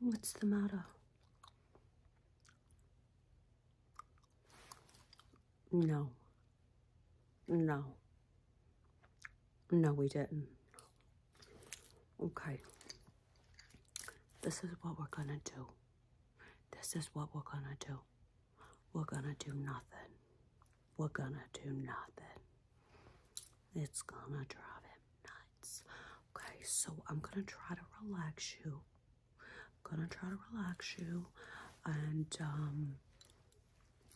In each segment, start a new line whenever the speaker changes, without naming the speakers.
What's the matter? No. No. No, we didn't. Okay. This is what we're gonna do. This is what we're gonna do. We're gonna do nothing. We're gonna do nothing. It's gonna drive him nuts. Okay, so I'm gonna try to relax you. I'm gonna try to relax you and um,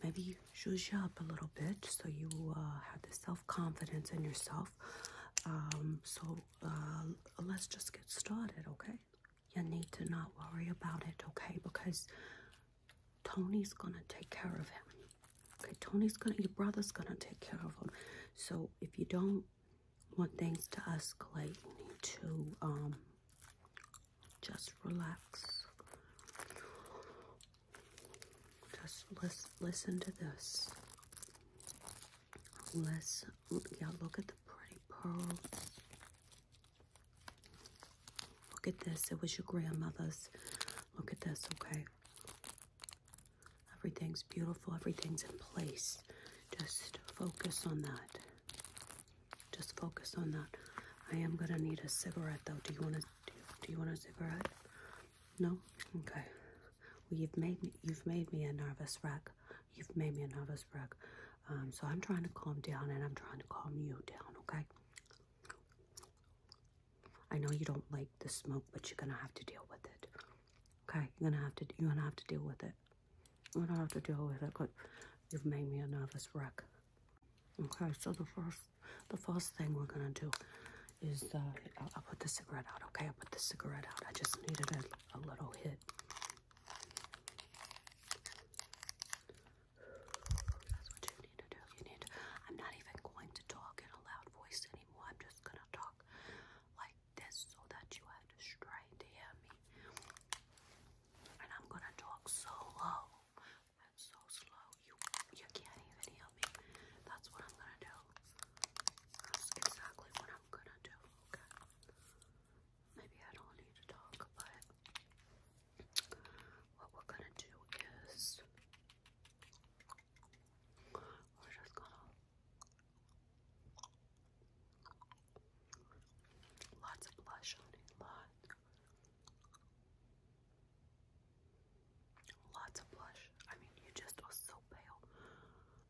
maybe zhuzh you up a little bit so you uh, have the self-confidence in yourself. Um, so uh, let's just get started, okay? You need to not worry about it, okay? Because Tony's gonna take care of him. Okay, Tony's gonna, your brother's gonna take care of him. So if you don't want things to escalate, you need to um, just relax. Just lis listen to this. Listen, yeah, look at the pretty pearls. Look at this, it was your grandmother's. Look at this, okay? Everything's beautiful, everything's in place. Just focus on that. Just focus on that. I am gonna need a cigarette though. Do you want to do, you want a cigarette? No? Okay. Well, you've made me you've made me a nervous wreck. You've made me a nervous wreck. Um, so I'm trying to calm down and I'm trying to calm you down, okay? I know you don't like the smoke, but you're gonna have to deal with it. Okay, you're gonna have to you're gonna have to deal with it. You're gonna have to deal with it. Cause you've made me a nervous wreck. Okay, so the first the first thing we're gonna do is uh, I'll, put the cigarette out. Okay, I'll put the cigarette out. I just needed a, little hit. That's what you need to do. You need. I'm not even going to talk in a loud voice anymore. I'm just gonna talk like this so that you have to try to hear me. And I'm gonna talk so low and so slow you you can't even hear me. That's what I'm gonna do. That's exactly what I'm gonna do. Okay. Maybe I don't need to talk, but what we're gonna do is we're just gonna lots of blush on it, lots. Lots of blush. I mean, you just are so pale.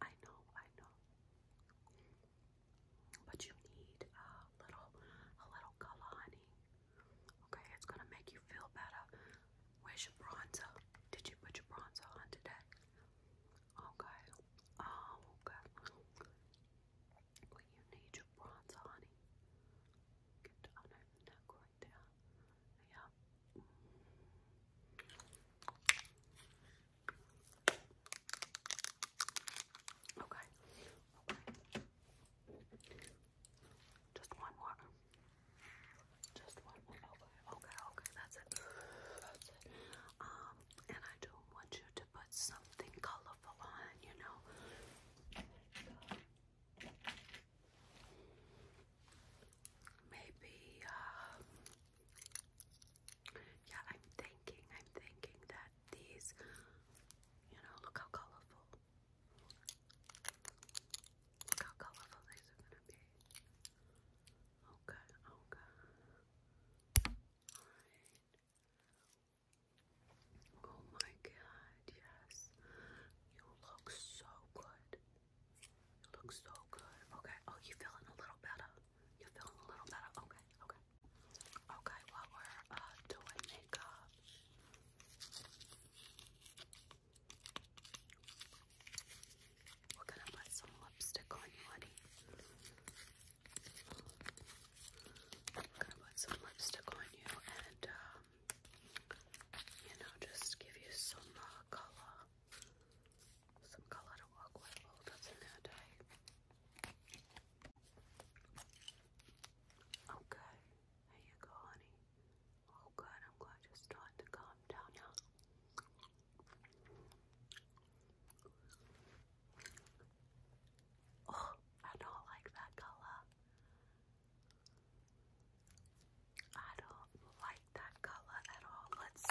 I know, I know. But you need a little, a little color, honey. Okay, it's gonna make you feel better. Where's your bronzer? Did you put your bronzer on today? Okay. Oh, okay. Well, need your bronzer, honey. Get down over the neck right there. Yeah. Okay. Just one more. Just one more. Okay, okay, That's it. That's it. Um, and I do want you to put something colorful on, you know. Maybe, uh, yeah, I'm thinking, I'm thinking that these, you know, look how colorful Look how these are gonna be. Okay, okay. Oh my god, yes. You look so good. You look so good. Okay. Oh, you feeling a little better? You feeling a little better? Okay, okay. Okay, while we're uh, doing makeup, we're gonna put some lipstick on you, honey. We're gonna put some lipstick on you and, um, you know, just give you some uh, color. Some color to walk with. Oh, that's in there tight. Okay, there you go, honey. Oh good, I'm glad you're starting to calm down now. Oh, I don't like that color. I don't like that color at all. Let's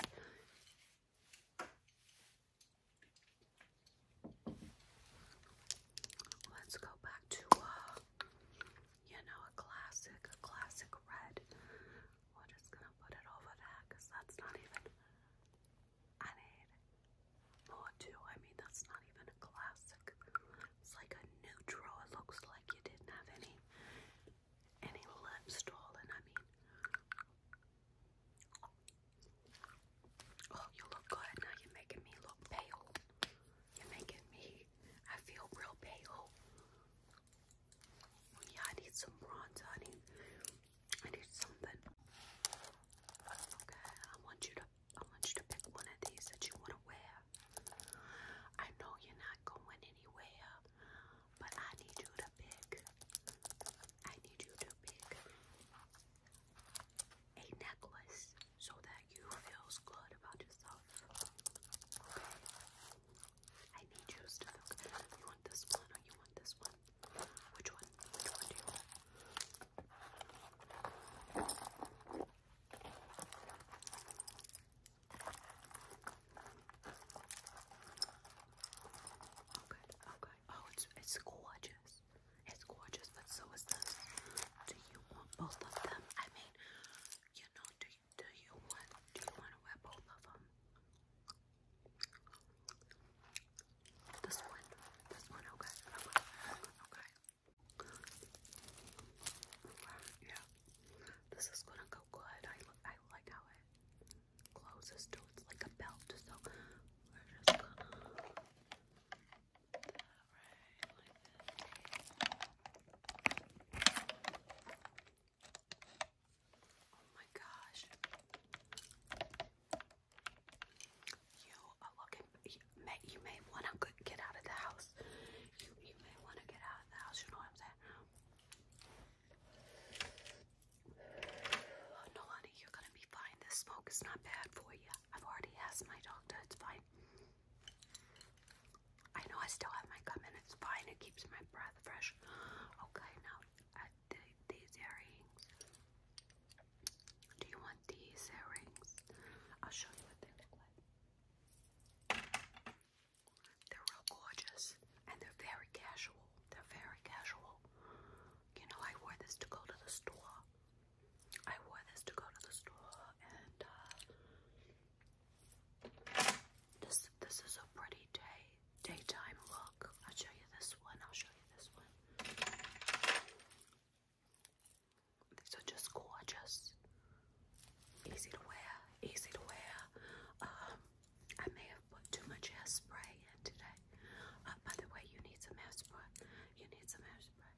Let's go back to uh, you know, a classic, a classic red. We're just gonna put it over there because that's not even, I need more too. I mean, that's not even a classic. It's like a neutral. It looks like you didn't have any, any lips stolen. I mean, oh, you look good. Now you're making me look pale. You're making me I feel real pale. Oh, yeah, I need some bronze, honey. I need something. Okay, I want you to, I want you to pick one of these that you want to wear. I know you're not going anywhere, but I need you to pick. I need you to pick a necklace so that you feels good about yourself. Okay. I need you to You want this one or you want this one? Which one? Which one do you want? Okay, oh, okay. Oh, oh, it's it's gorgeous. It's gorgeous, but so is this. Do you want both of them? I mean, you know, do do you want do you want to wear both of them? This one, this one, okay, okay, okay. Yeah, this is gonna go good. I I like how it closes It's like a belt, so we're just gonna right, like this. Oh my gosh. You are looking, you may, you may want to get out of the house. You, you may want to get out of the house, you know what I'm saying? Oh, no, honey, you're going to be fine. This smoke is not bad for you. I've already asked my doctor, it's fine. I know I still have my gum and it's fine. It keeps my breath fresh. Okay, now uh, these earrings. Do you want these earrings? I'll show you what they look like. They're real gorgeous and they're very casual. They're very casual. You know, I wore this to go to the store. I wore this to go to the store and uh, this this is a pretty day daytime look. I'll show you this one. I'll show you this one. These are just gorgeous. Easy to wear. Easy to wear. Um, I may have put too much hairspray in today. Uh, by the way, you need some hairspray. You need some hairspray.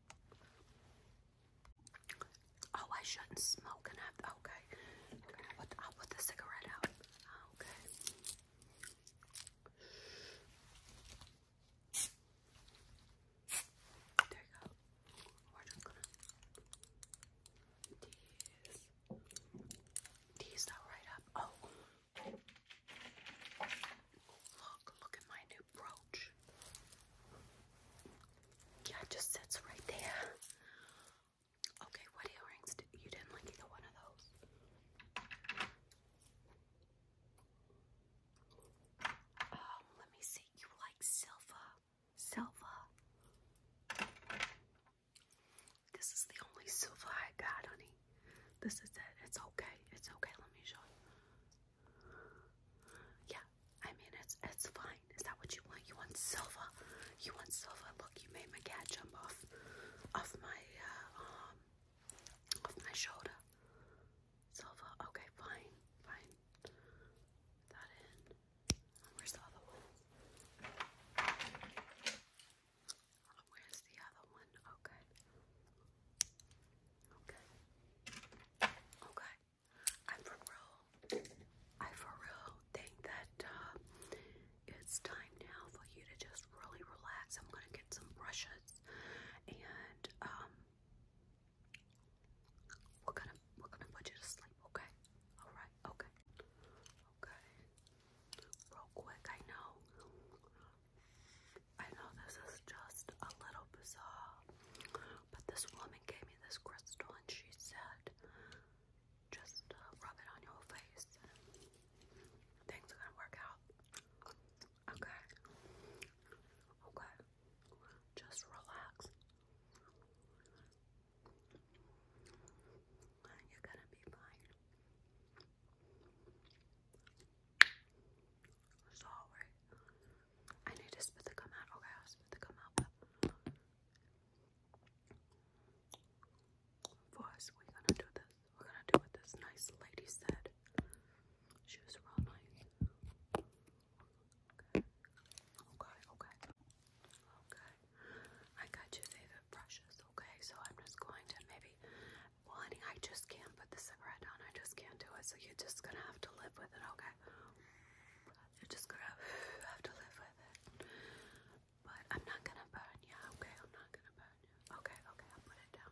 Oh, I shouldn't smoke enough. okay. I'll, put, the cigarette out. Okay. There you go. tease, tease that right up. Oh, look! Look at my new brooch. Yeah, it just sits right there. Okay, what earrings did you didn't like either one of those? Um, let me see. You like silver. Silver. This is the only silver I got, honey. This is it. It's okay. It's okay. Let me show you. Yeah, I mean it's it's fine. Is that what you want? You want silver? You want silver? Look, you made my cat jump off off my uh, um, off my shoulder. Silver. Okay, fine, fine. that in. Where's the other one? Where's the other one? Okay. Okay. Okay. I for real, I for real think that uh, it's time now for you to just really relax. I'm gonna get some brushes, and um, we're gonna we're gonna put you to sleep. Okay, all right, okay, okay. Real quick, I know, I know this is just a little bizarre. But this woman gave me this crystal and she said, just uh, rub it on your face. Things are gonna work out. Okay. Okay. Just relax. You're gonna be fine. Sorry. I need to spit the gum out. Okay, I'll spit the gum out. But first, we're gonna do this. We're gonna do what this nice lady said. She was real nice. okay, okay. Okay. I got your favorite brushes, okay? So I'm just going to maybe well honey, I just can't put the cigarette down. I just can't do it. So you're just gonna have to live with it, okay? You're just gonna have to live with it. But I'm not gonna burn you, okay? I'm not gonna burn you. Okay, okay, I'll put it down.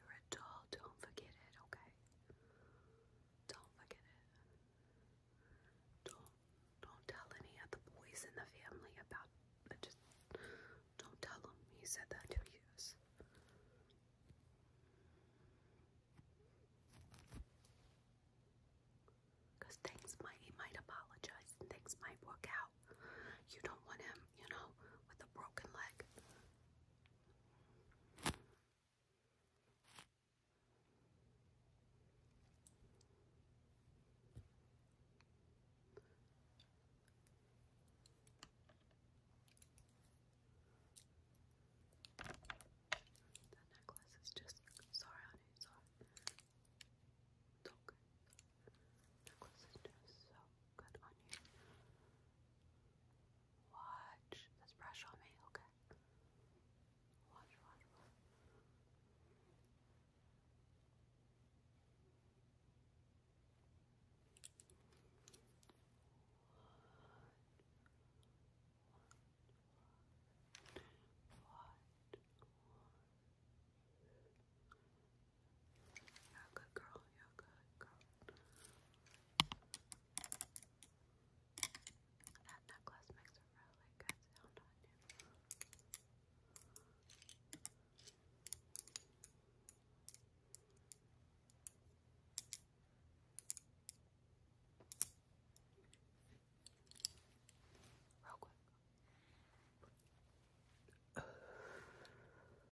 You're adult, don't forget it, okay? Don't forget it. Don't don't tell any of the boys in the family about Just don't tell them you said that to us. Cause things might he might apologize and things might work out. You don't want him, you know, with a broken leg. That necklace is just sorry on its own. Dog necklace is just so good on you. Watch this brush on me, okay? Watch, watch, watch. What? What? What? You're a good girl. You're a good girl. That necklace makes a really good sound on you. Real quick.